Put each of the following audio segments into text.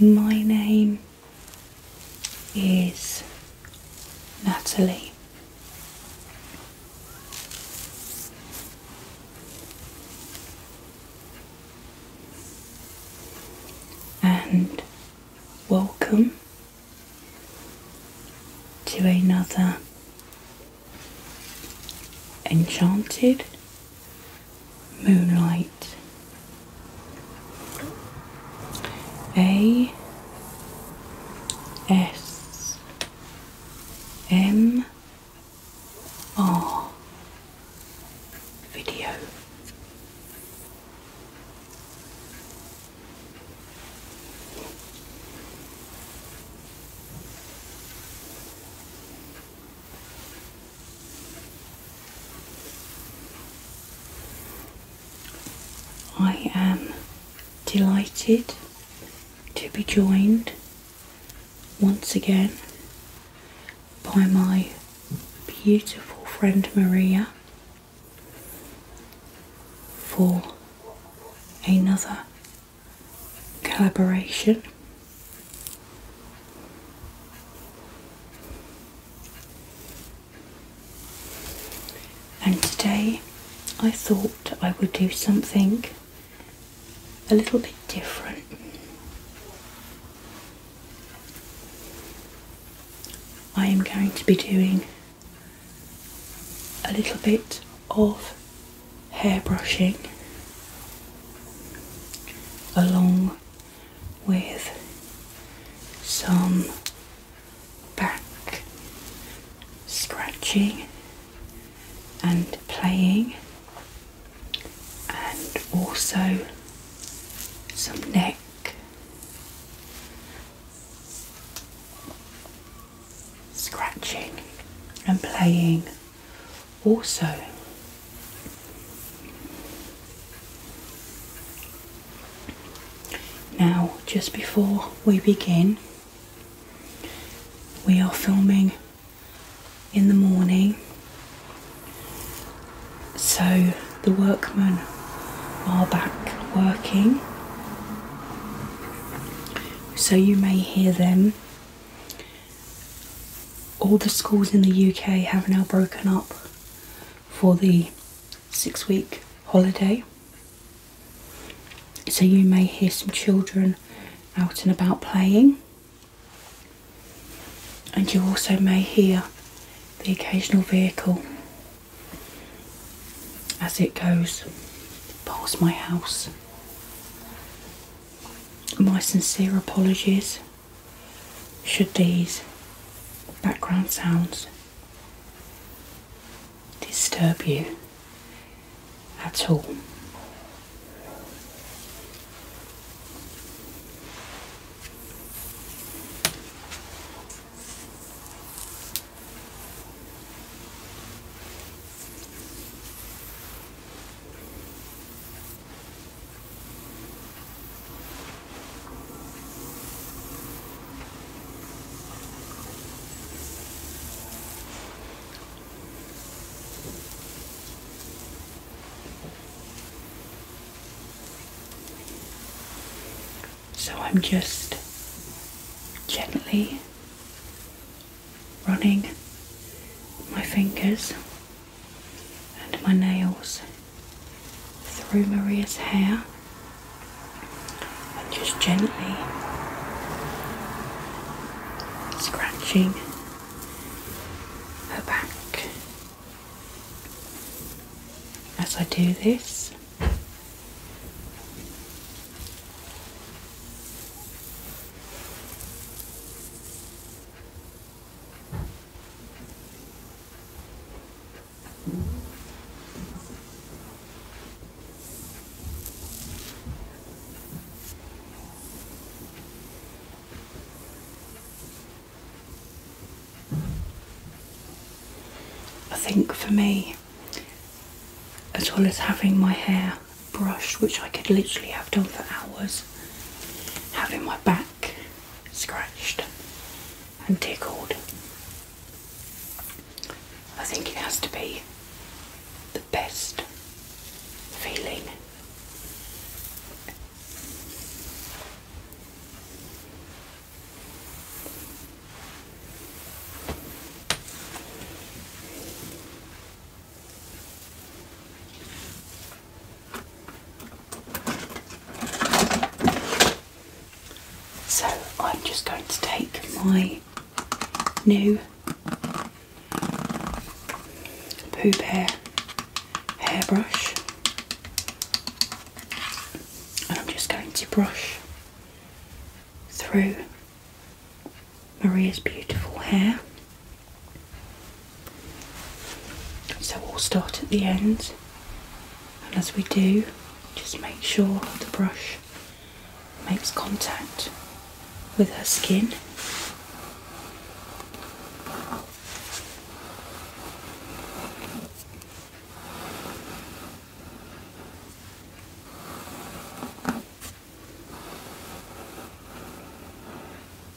My name is Natalie. And welcome to another enchanted moonlight. A S M R video. I am delighted to be joined once again by my beautiful friend Maria for another collaboration and today I thought I would do something a little bit different. I am going to be doing a little bit of hair brushing along with some back scratching and playing, and also some neck. Scratching and playing also now just before we begin we are filming in the morning so the workmen are back working so you may hear them all the schools in the UK have now broken up for the six week holiday. So you may hear some children out and about playing, and you also may hear the occasional vehicle as it goes past my house. My sincere apologies should these background sounds disturb you at all. So I'm just gently running my fingers and my nails through Maria's hair and just gently scratching her back. As I do this, I think for me, as well as having my hair brushed, which I could literally have done for hours, having my back scratched and tickled. I think it has to be the best feeling. So I'm just going to take my new Pooh Bear hairbrush and I'm just going to brush through Maria's beautiful hair. So we'll start at the end, and as we do, just make sure the brush makes contact with her skin.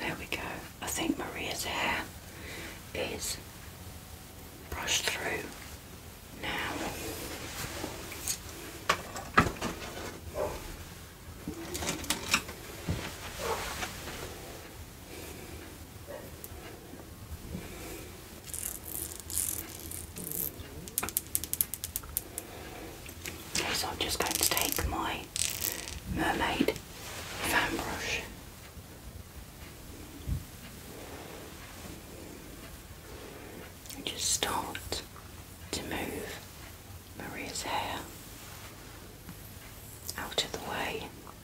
There we go. I think Maria's hair is brushed through now so I'm just going to take my mermaid fan brush. And just start to move Maria's hair out of the way.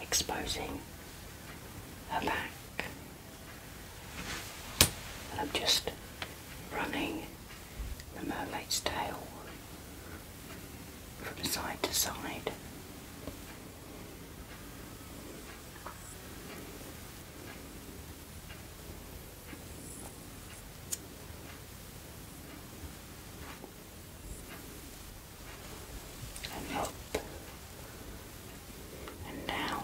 exposing her back. And I'm just running the mermaid's tail from side to side and up and down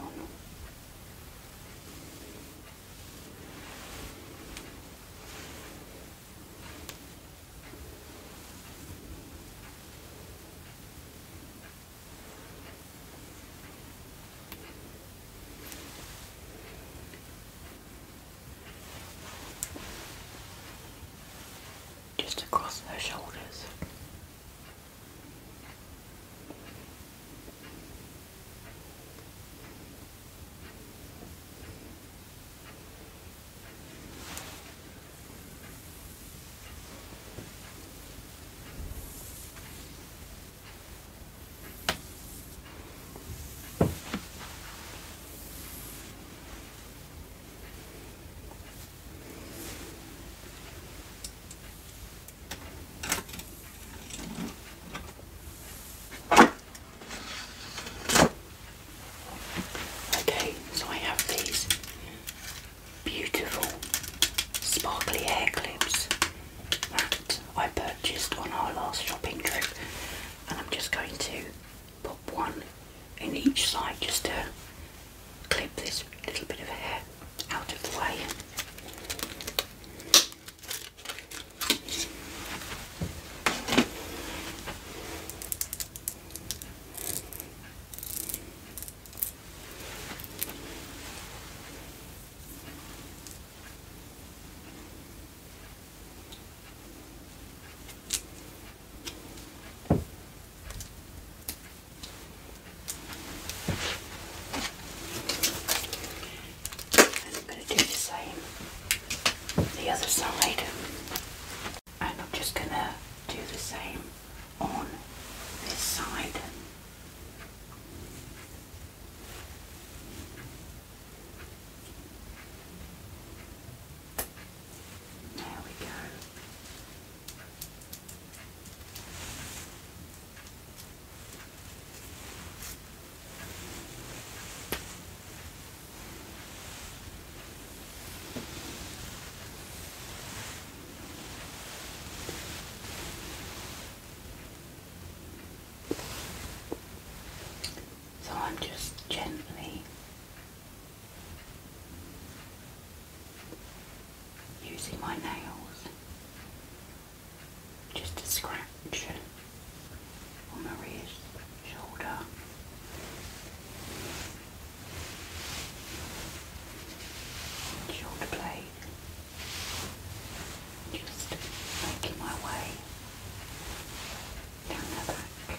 just across her shoulders. Okay, so I have these beautiful sparkly hair clips that I purchased on our last shopping trip, and I'm just going to put one in each side just to clip this little bit of hair out of the way. I'm going to do the same the other side. And I'm just going to do the same on this side. There we go. So I'm just gently using my nails just to scratch on Maria's shoulder. Shoulder blade. Just making my way down her back.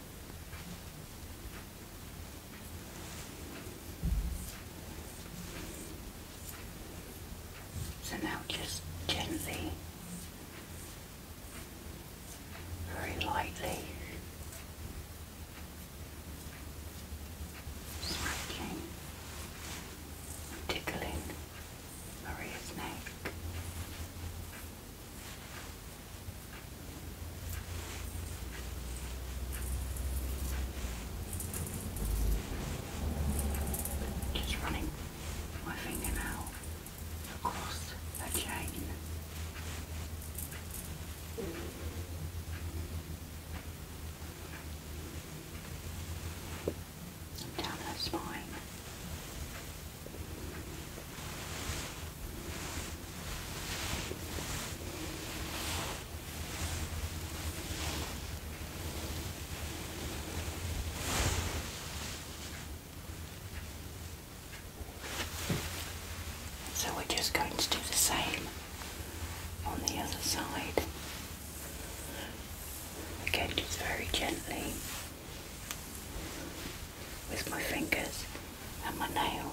So now just gently, very lightly smacking tickling Maria's neck. Just running my fingernail across the chain. Down her spine. So we're just going to do the same on the other side. Again, just very gently with my fingers and my nail.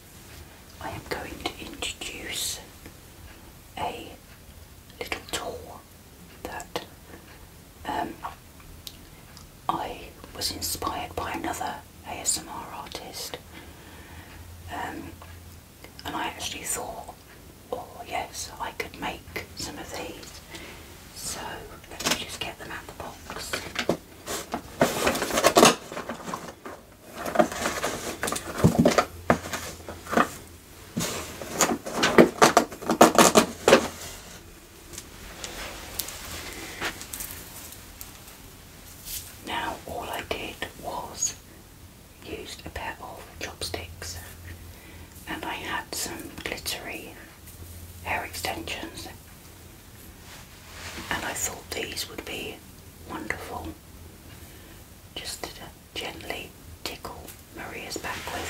I am going to introduce a little tour that um, I was inspired by another ASMR artist, um, and I actually thought, oh yes, I could make some of these. So let me just get them out of the box. Now, all I did was used a pair of chopsticks and I had some glittery hair extensions and I thought these would be wonderful just to gently tickle Maria's back with.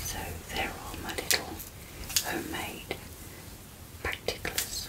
So there are my little homemade practicals.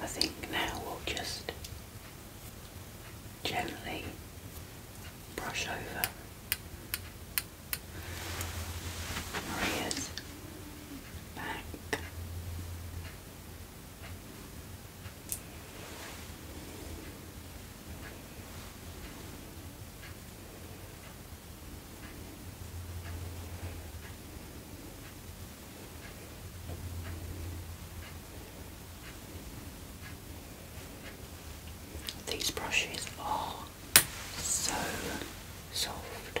I think now we'll just gently brush over Maria's back. These brushes are so soft.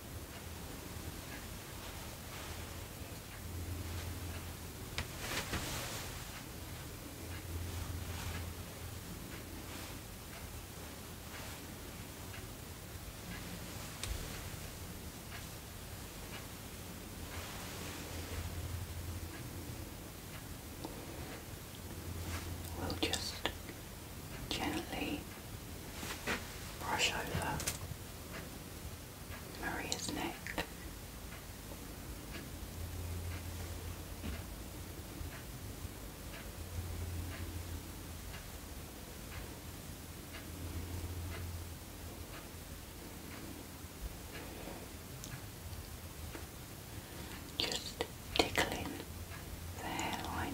We'll just gently brush over Maria's neck. Just tickling the hairline.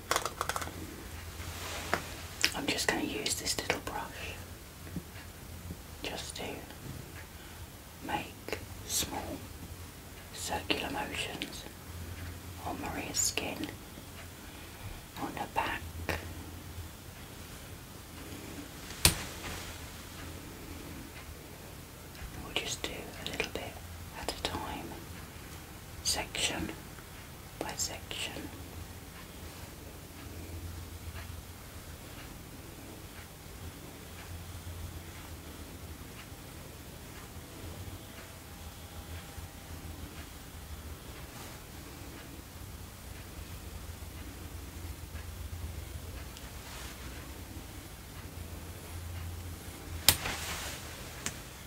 I'm just going to use this little brush just to make small circular motions on Maria's skin, on her back. We'll just do a little bit at a time section by section.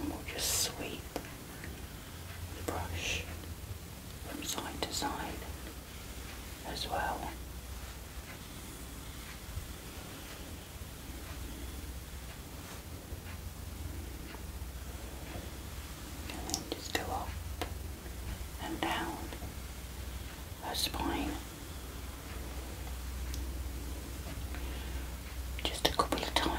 and we'll just sweep the brush from side to side as well. And then just go up and down her spine just a couple of times.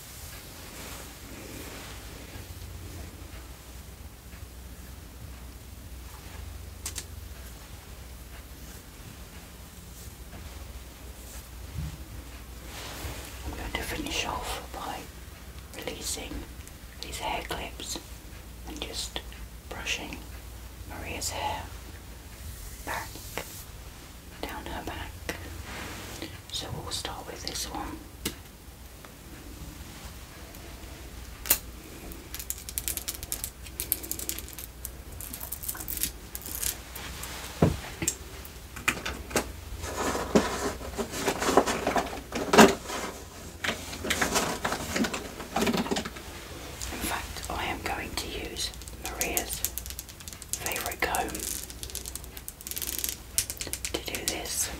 I'm going to finish off by releasing these hair clips and just brushing Maria's hair back down her back. So we'll start with this one. In fact, I am going to use Maria's favourite comb to do this.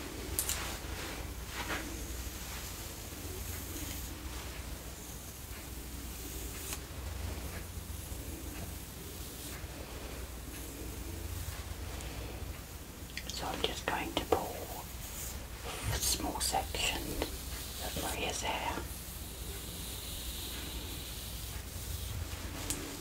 So I'm just going to pull a small section of Maria's hair.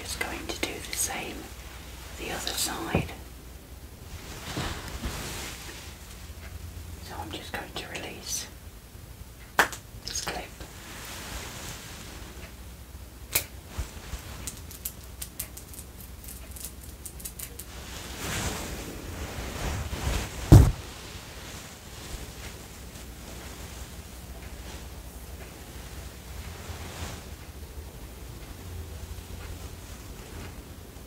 Just going to do the same the other side. So I'm just going to release this clip.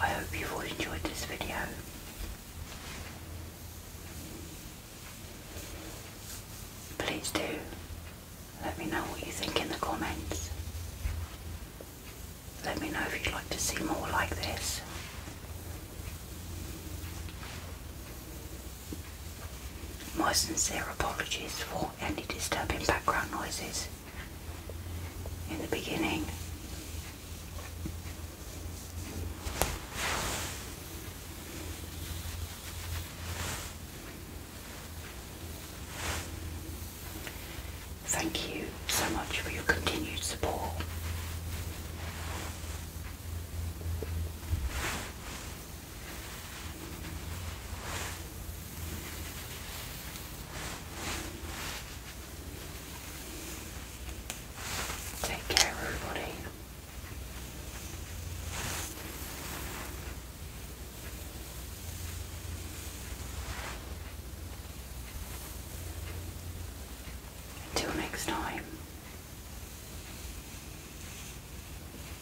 I hope you've all enjoyed this video. Please do let me know what you think in the comments. Let me know if you'd like to see more like this. My sincere apologies for any disturbing background noises in the beginning. Thank you so much for your continued support. Take care, everybody. Until next time.